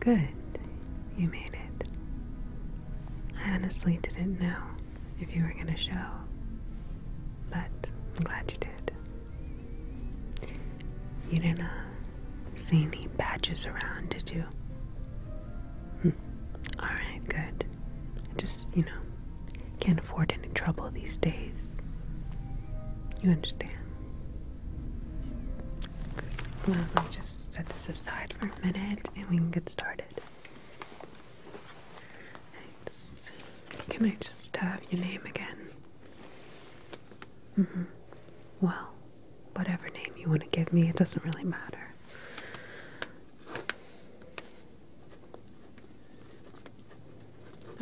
Good. You made it. I honestly didn't know if you were going to show, but I'm glad you did. You didn't uh, see any badges around, did you? Hmm. Alright, good. Just, you know, can't afford any trouble these days. You understand? Well, let me just set this aside for a minute and we can get started. Right. Can I just have your name again? -hmm. Well, whatever name you want to give me, it doesn't really matter.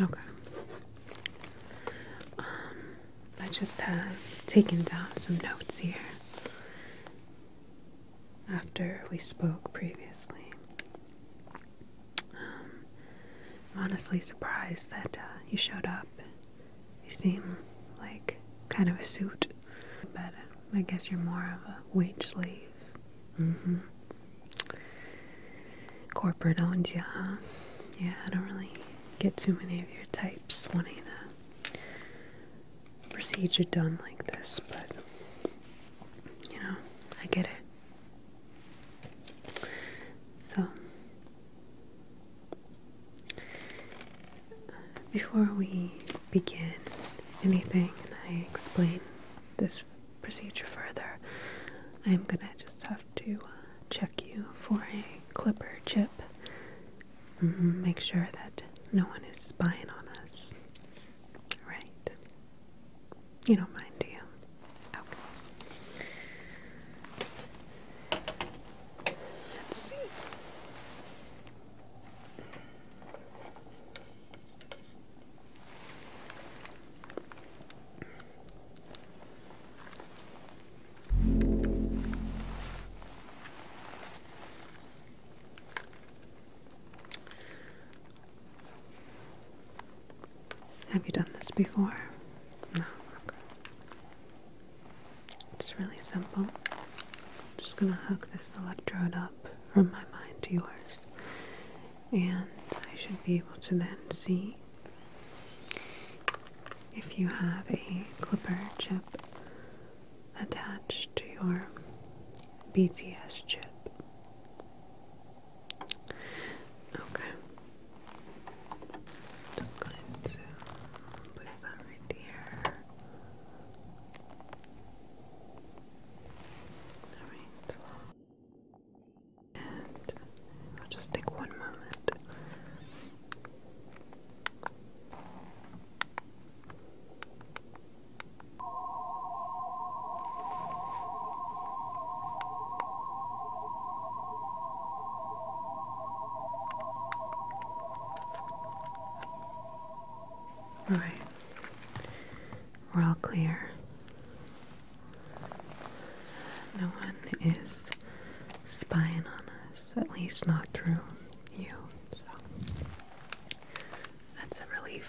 Okay. Um, I just have taken down some notes here after we spoke previously. Um, I'm honestly surprised that uh, you showed up. You seem like kind of a suit, but uh, I guess you're more of a wage slave. Mm-hmm. Corporate owned you, Yeah, I don't really get too many of your types wanting the procedure done like this, but you know, I get it. So, before we begin anything and I explain this procedure further, I'm gonna just have to uh, check you for a clipper chip. Mm-hmm, make sure that no one is spying on us. Right. You don't mind, do you? Okay. Let's see. Have you done this before? No. It's really simple. I'm just gonna hook this electrode up from my mind to yours, and I should be able to then see if you have a clipper chip attached to your BTS chip. Okay. i just going to place that right here. Alright. And I'll just take one moment. All right, we're all clear. No one is spying on us, at least not through you, so that's a relief.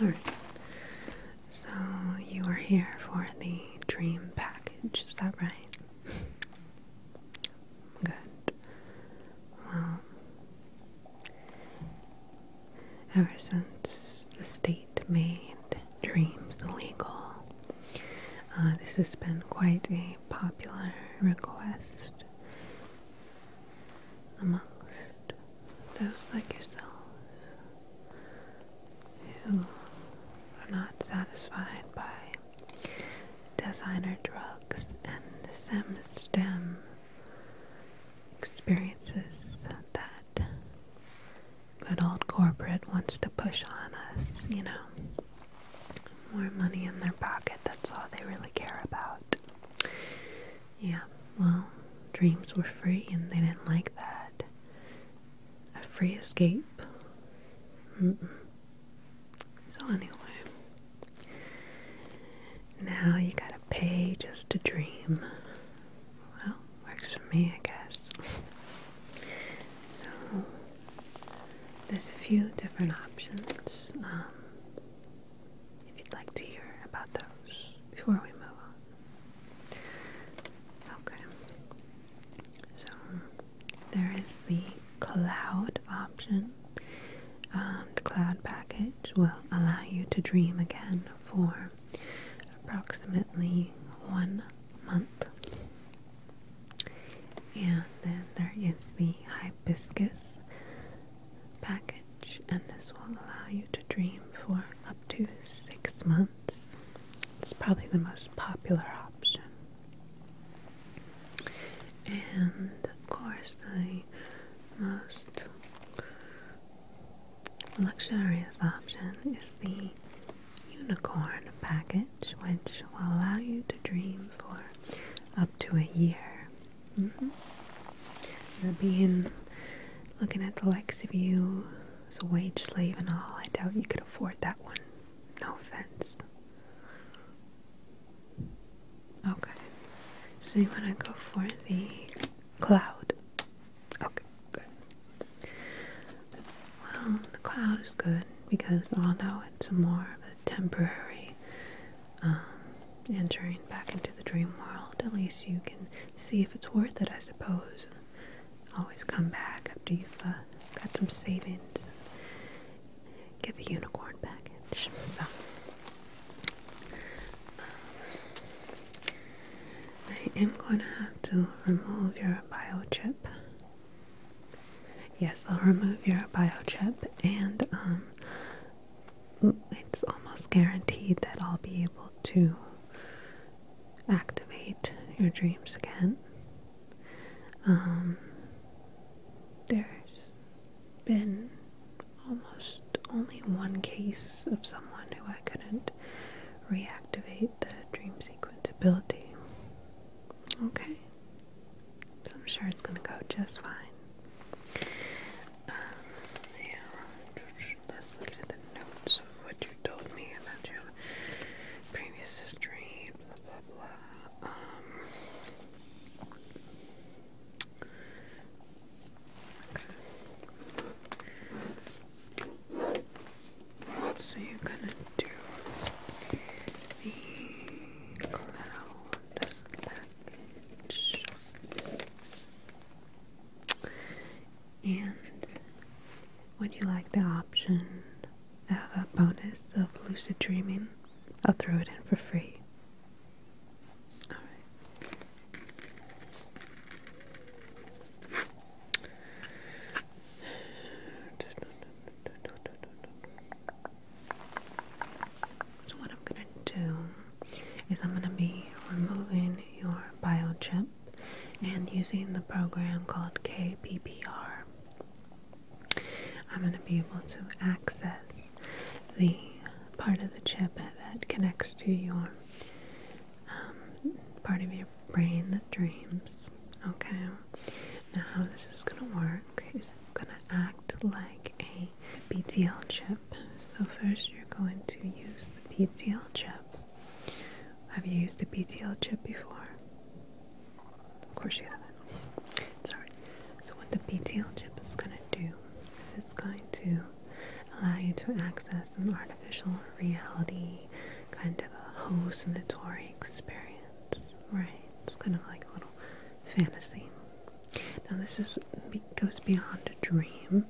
Alright, so you are here for the dream package, is that right? Good. Well, ever since the state made dreams illegal, uh, this has been quite a popular request amongst those like yourself who are not satisfied by designer drugs and SEM STEM experiences that good old corporate wants to push on us, you know. More money in their pocket, that's all they really care about. Yeah, well, dreams were free and they didn't like that. A free escape. So, anyway, now you gotta pay just to dream. Well, works for me, I guess. so, there's a few different options. Um, if you'd like to hear about those before we move on. Okay, so there is the cloud option. Um, the cloud package will allow you to dream again for approximately one month. And then there is the hibiscus package, and this will allow you to dream for up to six months. It's probably the most popular option. And of course, the most luxurious option is the unicorn package, which will allow you to dream for up to a year. Mm looking at the likes of you as a wage slave and all. I doubt you could afford that one. No offense. Okay. So you want to go for the cloud? Okay, good. Well, the cloud is good because although it's more of a temporary um, entering back into the dream world, at least you can see if it's worth it, I suppose. always come back after you've uh, got some savings get the unicorn package. So, I am going to have to remove your biochip. Yes, I'll remove your biochip and um, it's almost guaranteed that I'll be able to activate your dreams again. Um, there's been almost only one case of someone who I couldn't reactivate the dream sequence ability. Okay. So I'm sure it's going to go just fine. Um, yeah, let's the notes of what you told me about your previous history, blah blah Um, So you're gonna do the cloud and would you like the option of a bonus of lucid dreaming? I'll throw it in for free. So what I'm gonna do is I'm gonna be removing your biochip and using the program called KPPR. I'm gonna be able to access the part of the chip that connects to your um, part of your brain that dreams. Okay. Now how this is gonna work is it's gonna act like a the PTL chip. So first you're going to use the PTL chip. Have you used the PTL chip before? Of course you haven't. Sorry. So what the PTL chip is going to do is it's going to allow you to access an artificial reality kind of a hallucinatory experience, right? It's kind of like a little fantasy now this is goes beyond a dream,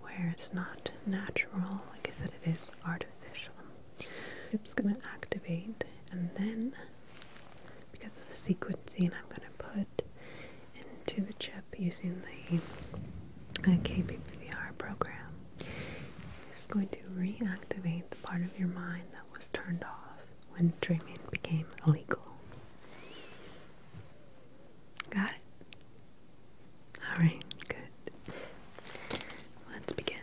where it's not natural. Like I said, it is artificial. It's gonna activate, and then because of the sequencing, I'm gonna put into the chip using the uh, program. It's going to reactivate the part of your mind that was turned off when dreaming became illegal. Got it? Alright, good. Let's begin.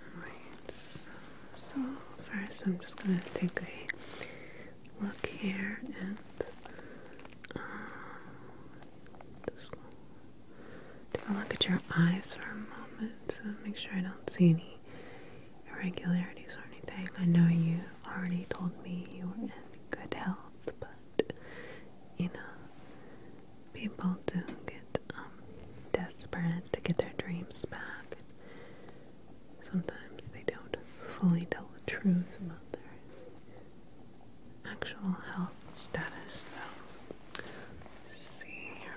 Alright, so, first I'm just going to take a look here and take a look at your eyes for a moment and make sure I don't see any irregularities or anything. I know you already told me you were in good health, but you know, people do get um, desperate to get their dreams back. Sometimes they don't fully tell the truth about their actual health status. So, see. Okay.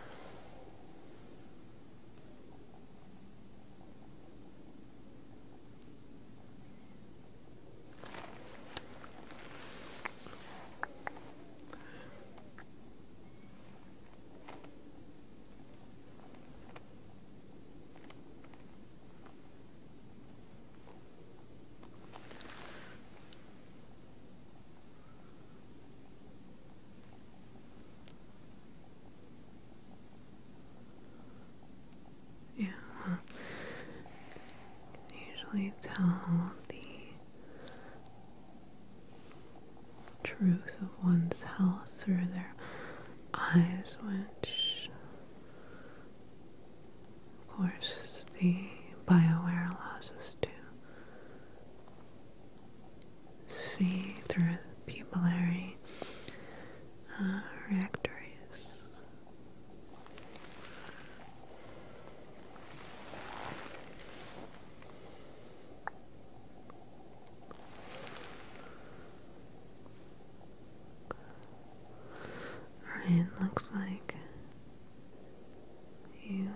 Yeah, usually tell the truth of one's health through their eyes, which of course, the BioWare allows us to see through pupillary uh, Alright, looks like you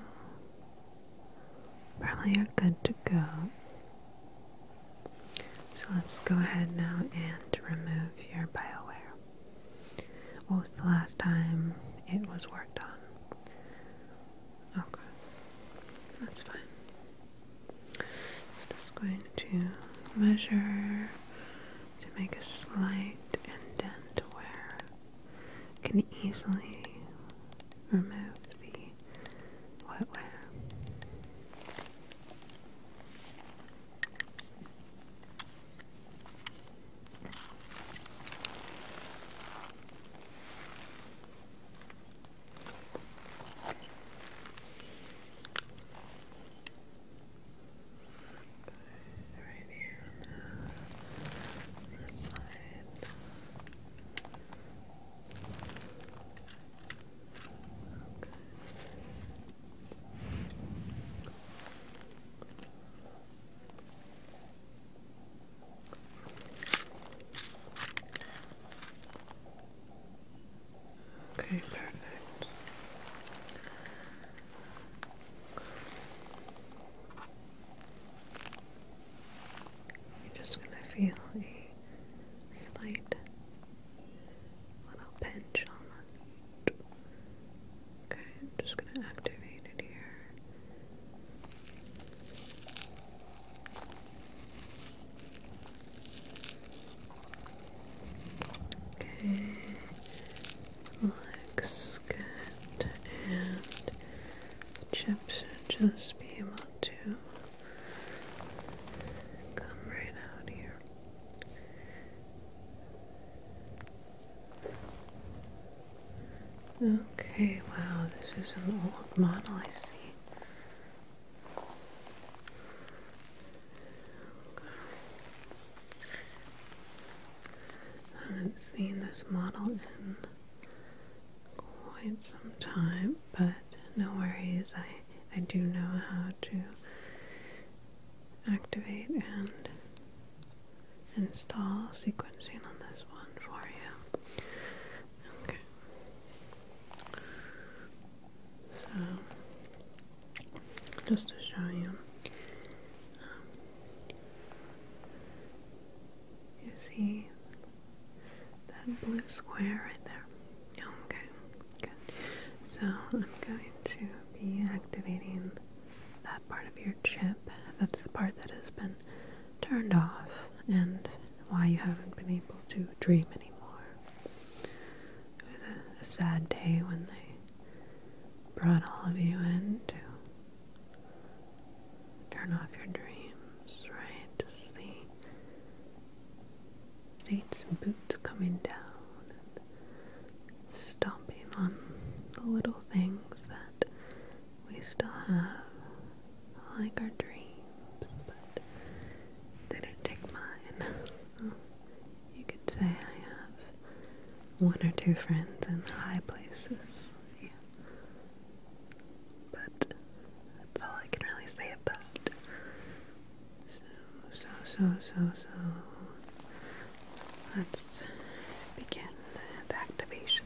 probably are good to go. So let's go ahead now and remove your BioWare. What was the last time it was worked on? Okay, that's fine. Just going to measure to make a slight indent where I can easily remove the wetware right here on the, the side. Okay. Okay. Okay, perfect. You're just going to feel a slight little pinch Okay, I'm just going to activate it here. Okay, looks good, and the should just be able to come right out here. Okay, wow, this is an old model, I see. I haven't seen this model in quite some time, but no worries. I, I do know how to activate and install sequencing on this one for you. Okay. So, just to show you, um, you see that blue square right there. Oh, okay, good. So, I'm going to be activating that part of your chip. That's the part that has been turned off and why you haven't been able to dream anymore. It was a, sad day when they brought all of you in to turn off your dreams, right? the state's boots coming down and stomping on the little things that we still have, like our dreams, but they didn't take mine. you could say I have one or two friends in high places. But that's all I can really say about. So, so, so, so, so. Let's begin the activation.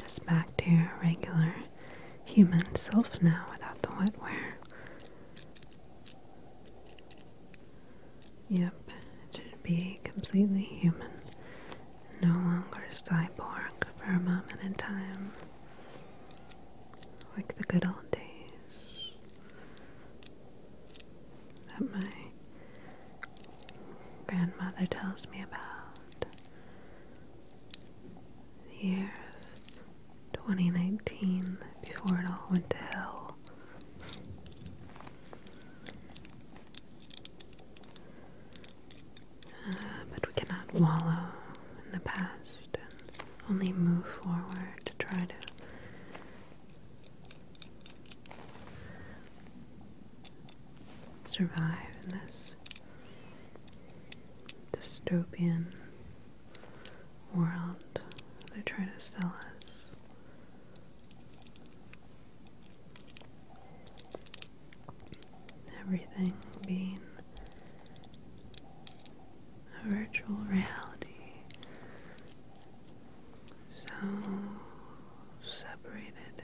Just back to your regular human self now without the wetware. Yep, it should be completely human no longer cyborg for a moment in time, like the good old days. That my grandmother tells me about the year of 2019 before it all went to hell. Uh, but we cannot wallow in the past and only move forward to try to survive in this dystopian world they are trying to sell us everything being a virtual reality so separated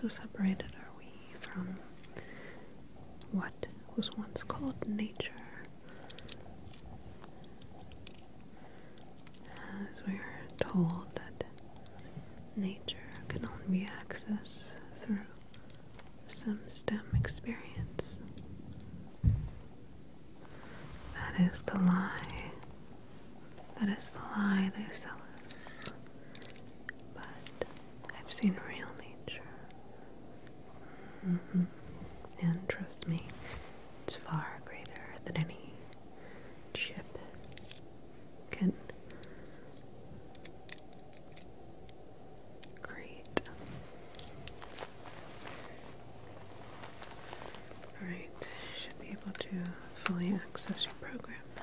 so separated are we from what was once called nature as we are told that nature can only be accessed through some STEM experience. That is the lie. That is the lie they sell us. But I've seen real nature. Mm-hmm. And trust me, it's far greater than any chip can create. Alright, should be able to fully access your program now.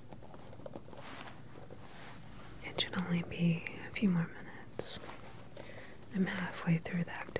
It should only be a few more minutes. I'm halfway through the activation.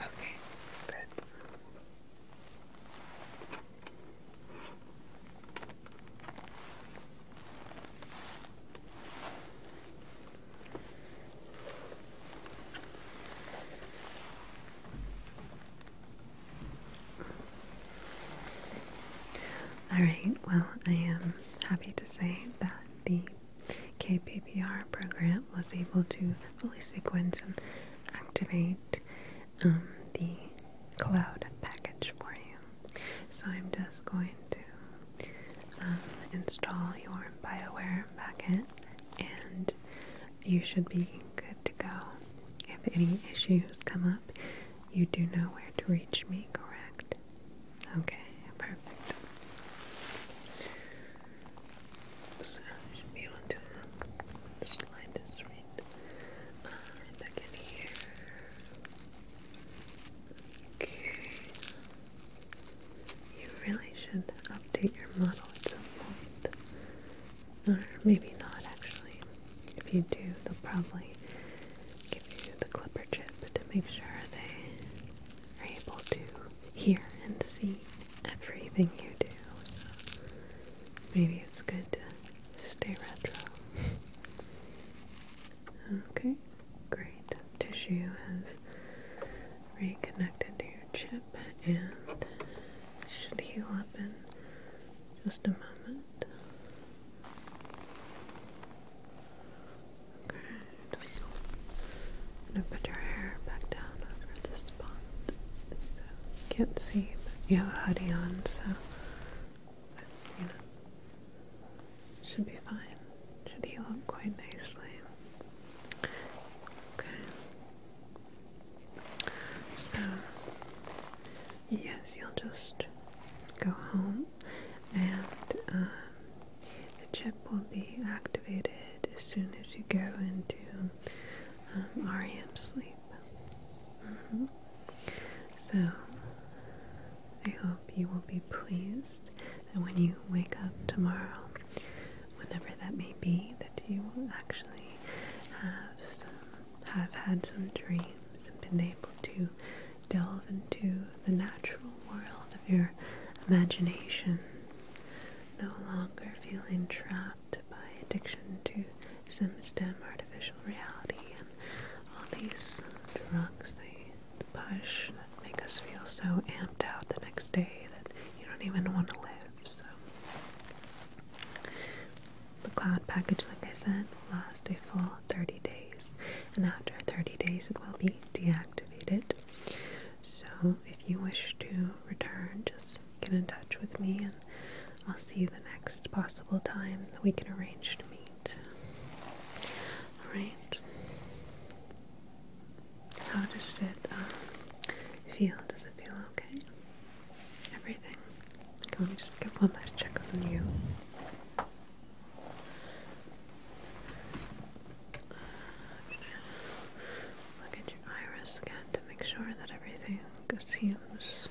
Okay, good. All right, well, I am happy to say that the KPPR program was able to fully sequence and activate um, the cloud package for you. So I'm just going to um, install your BioWare packet and you should be good to go. If any issues come up, you do know where to reach me, correct? Okay, perfect. So I should to uh, slide this right uh, back in here. Okay. You really should update your model at some point. Or maybe not actually. If you do, they'll probably give you the clipper chip to make sure they are able to hear and see everything you do. So maybe it's good to stay retro. Okay, great. Tissue has reconnected to your chip and should heal up in just a moment. Okay, just gonna put your hair back down over this spot. you can't see, but you have a hoodie on, so you know should be fine. Should heal up quite nicely. Okay. So yes, you'll just go home and um, the chip will be activated as soon as you go into REM um, sleep. Mm-hmm. So, I hope you will be pleased that when you wake up tomorrow, whenever that may be, that you will actually have have had some dreams and been able to delve into the natural world of your imagination, no longer feeling trapped by addiction to SimStem artificial reality and all these drugs they push that make us feel so amped out the next day that you don't even want to live. So the cloud package, like I said, will last a full 30 days and after 30 days it will be deactivated. So if you wish to return, just get in touch with me and I'll see you the next possible time that we can arrange to meet. Alright. How does it um, feel? Does it feel okay? Everything? Okay, let me just get one last check on you. Look at your iris again to make sure that everything seems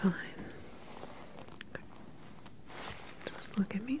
fine. Just look at me.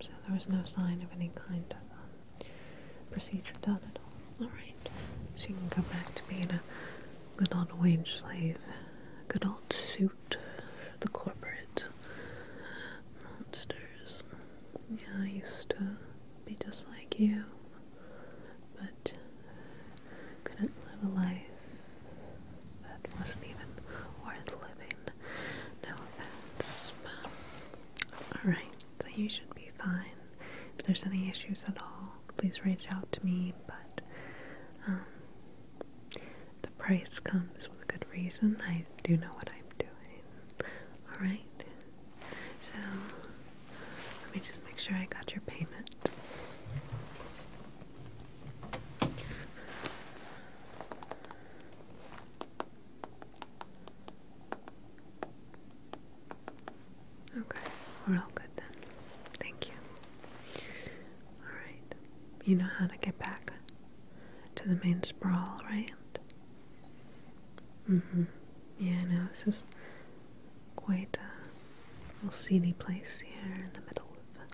so there was no sign of any kind of um, procedure done at all. Alright, so you can go back to being a good old wage slave, good old suit for the corporate monsters. Yeah, I used to be just like you, but couldn't live a life that wasn't even worth living. No offense. Alright, so you should be fine. If there's any issues at all, please reach out to me, but um, the price comes with good reason. I do know what I'm doing. Alright, so let me just make sure I got your payment. Okay, we're all good then. Thank you. Alright, you know how to get back to the main sprawl, right? Mm hmm. Yeah, I know. This is quite a little seedy place here in the middle of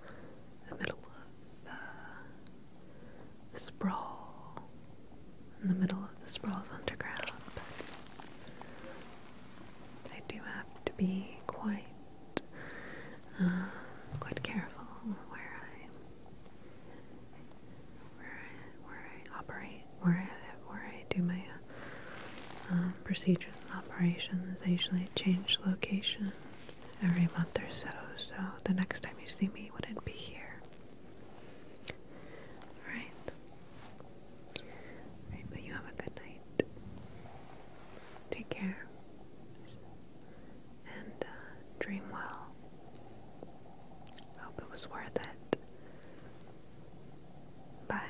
the middle of uh, sprawl in the middle of the sprawl's underground, but I do have to be quite uh, quite careful where I where I, where I operate, where I where I do my uh, procedures and operations. I usually change location every month or so, so the next time you see me wouldn't be here. Alright. Alright, but you have a good night. Take care. And uh, dream well. Hope it was worth it. Bye.